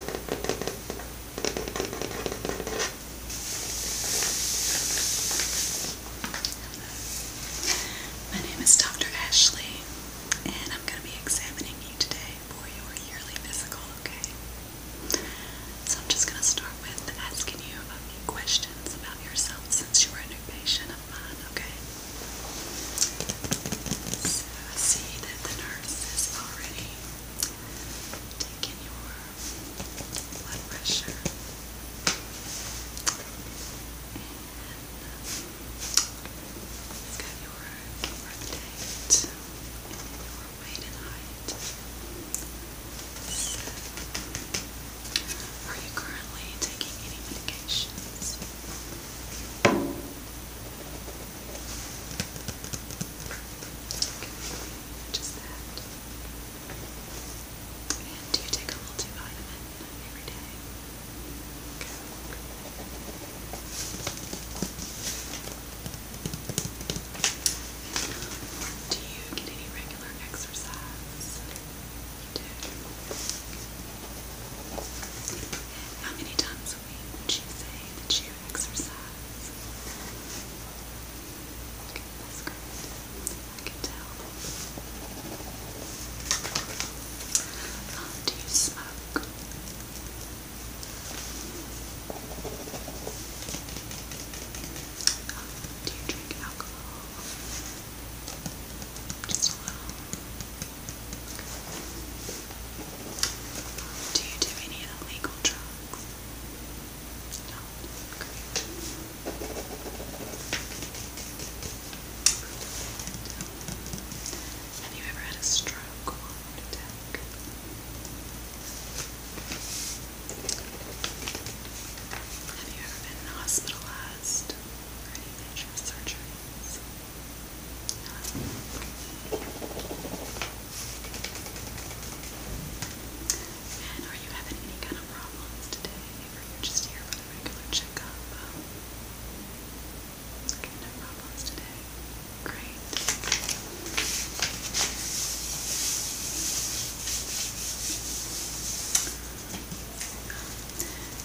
My name is Dr. Ashley, and I'm going to be examining you today for your yearly physical, okay? So I'm just going to start with asking you a few questions about yourself since you are a new patient of mine, okay? I see that the nurse is already Take your blood pressure. And we your birth your weight and height. are you currently taking any medications? Just do you take a multivitamin every day? Do you get any regular exercise? How many times a week would you say that you exercise. Okay, that's great. I can tell. do you smoke? do you drink alcohol? Just a little. Do you do any illegal drugs? Have you ever had a stroke or an attack? Have you ever been hospitalized for any major surgeries? And are you having any kind of problems today? just here for the regular checkup? okay, no problems today. Great.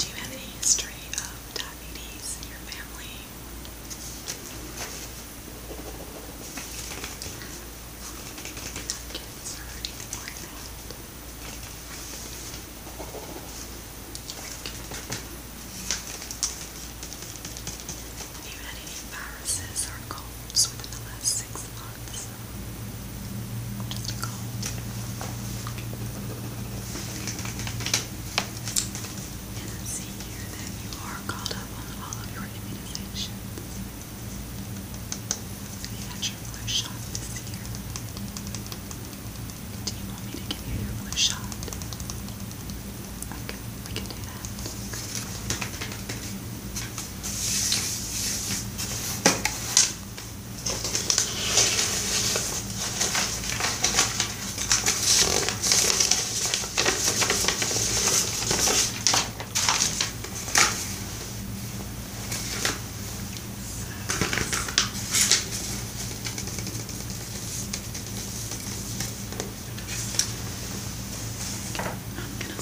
Do you have any history of diabetes in your family? Have you had any viruses or colds within the last six months? Just a cold. Okay. And then see here that you are called up on all of your immunizations. You got your flu shot this year. Do you want me to give you your flu shot? Okay, we can do that. I'm going to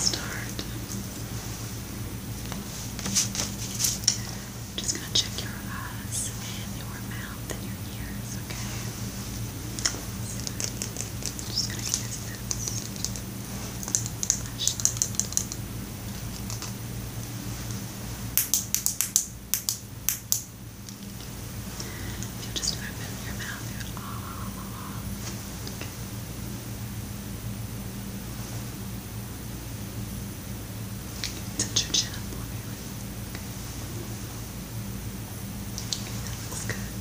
start. Just going to check your eyes and your mouth and your ears, okay? I'm just gonna use this just open your mouth, Okay. Touch your chin up for me, okay. that looks good.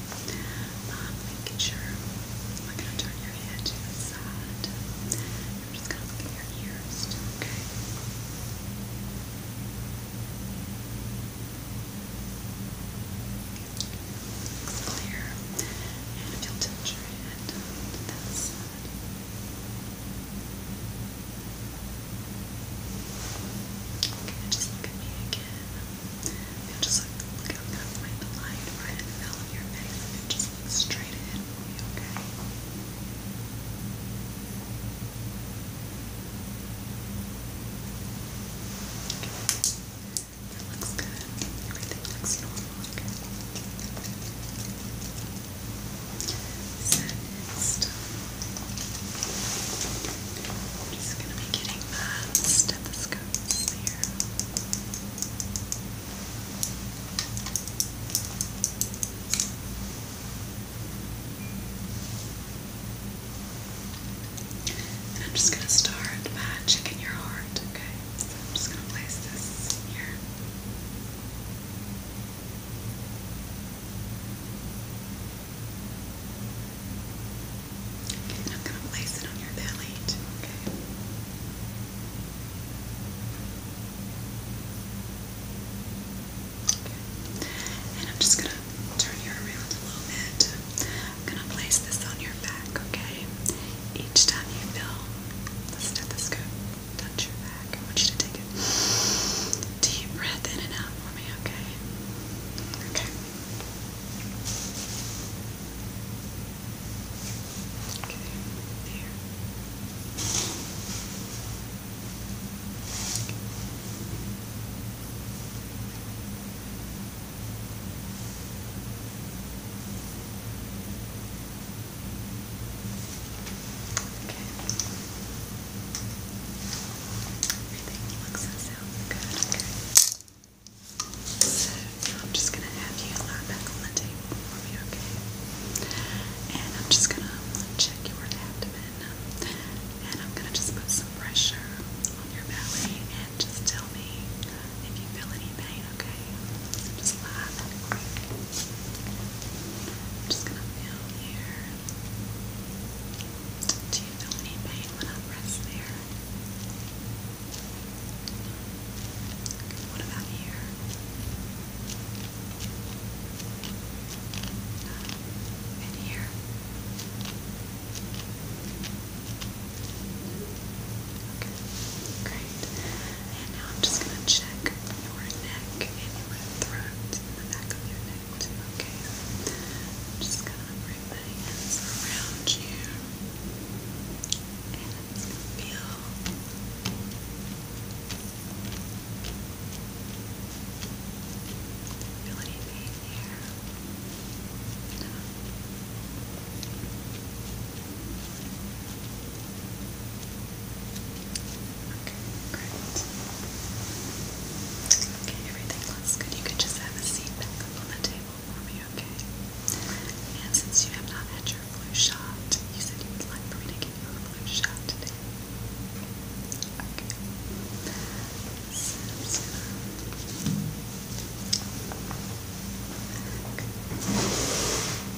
I'm um, making sure I'm gonna turn your head to the side. I'm just gonna look at your ears, okay? Looks clear. And if you'll touch your head to that side. Can just look at me again? just look, look I'm the light right in the middle your face and just look straight ahead for me, okay? Okay. looks good. Everything looks normal, okay? I'm just going to be getting my stethoscopes here. I'm just going to start by checking your heart, okay? So I'm just going to place this here. Okay, I'm going to place it on your belly Okay. And I'm just going to turn you around a little bit. I'm going to place this on your back, okay? Each time you feel the stethoscope, touch your back. I want you to take a deep breath in and out for me, okay? Okay. Okay, there. Okay. Everything looks and sounds good, So I'm just gonna have you lie back on the table for me, okay? And I'm just gonna check your abdomen and I'm gonna just put some pressure on your belly and just tell me if you feel any pain, okay? just lie back. Okay. I'm just gonna feel here. Do you feel any pain when I press there? Okay, what about here? And here? Okay, great. And now I'm just gonna check your neck and your throat and the back of your neck okay? just gonna bring my hands around you and it's gonna feel feel any pain here? Okay, great. Okay, everything looks good. You could just have a seat back on the table for me, okay? And since you have not had your flu shot, you said you would like for me to give you a flu shot today. Okay. Okay.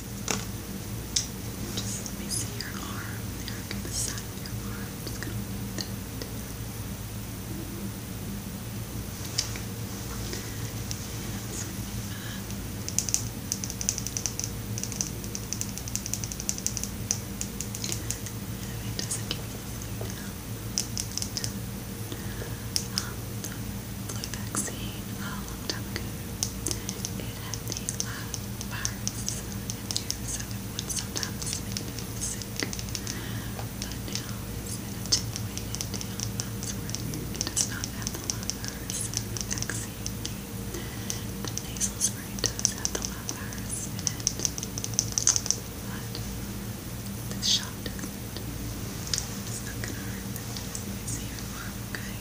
Just let me see your arm there. Look at the side of your arm. just gonna move that. it doesn't give me um, the flu the flu vaccine. Um, long time It had the live virus in so it sometimes make people sick. But now it's been attenuated down months it does not have the live virus the nasal spray does have the live virus but the shot doesn't. It's not gonna hurt. It's here. Okay.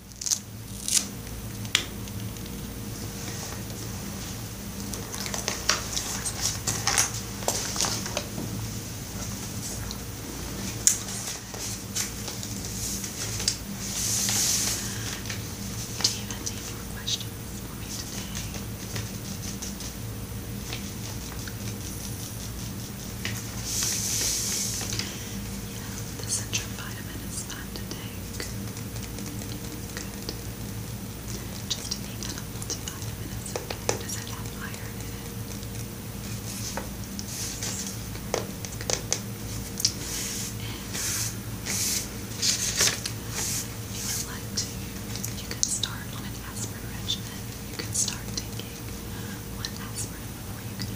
Do you have any more questions for me today? Yeah, the Centrum Vitamin is time to Good. Just to make that a multivitamin, okay. Does it have iron in it? if you would like to, you can start on an aspirin regimen. You can start taking one aspirin before you go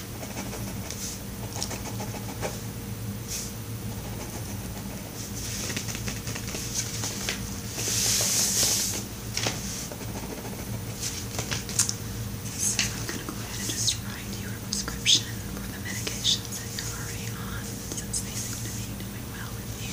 So I'm going to go ahead and just write your prescription for the medications that you're already on since they seem to doing well with you.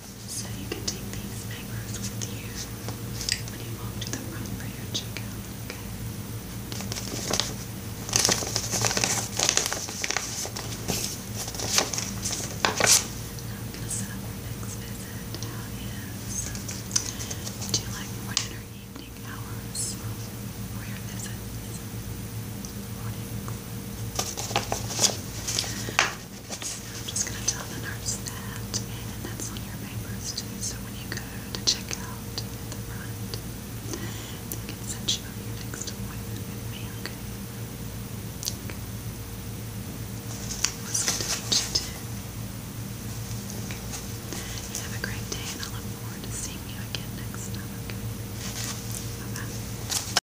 So you can take these mangroves with you when you walk to the front for checkout, okay? Now I'm going visit. How is do you like morning or evening hours for your visit? Morning. I'm just going to tell the nurse that, and that's on your papers too. So when you go to check out at the front, they can send you up your next appointment okay? Okay. It was good to meet you Okay. have a great day, and I look forward to seeing you again next time, okay? bye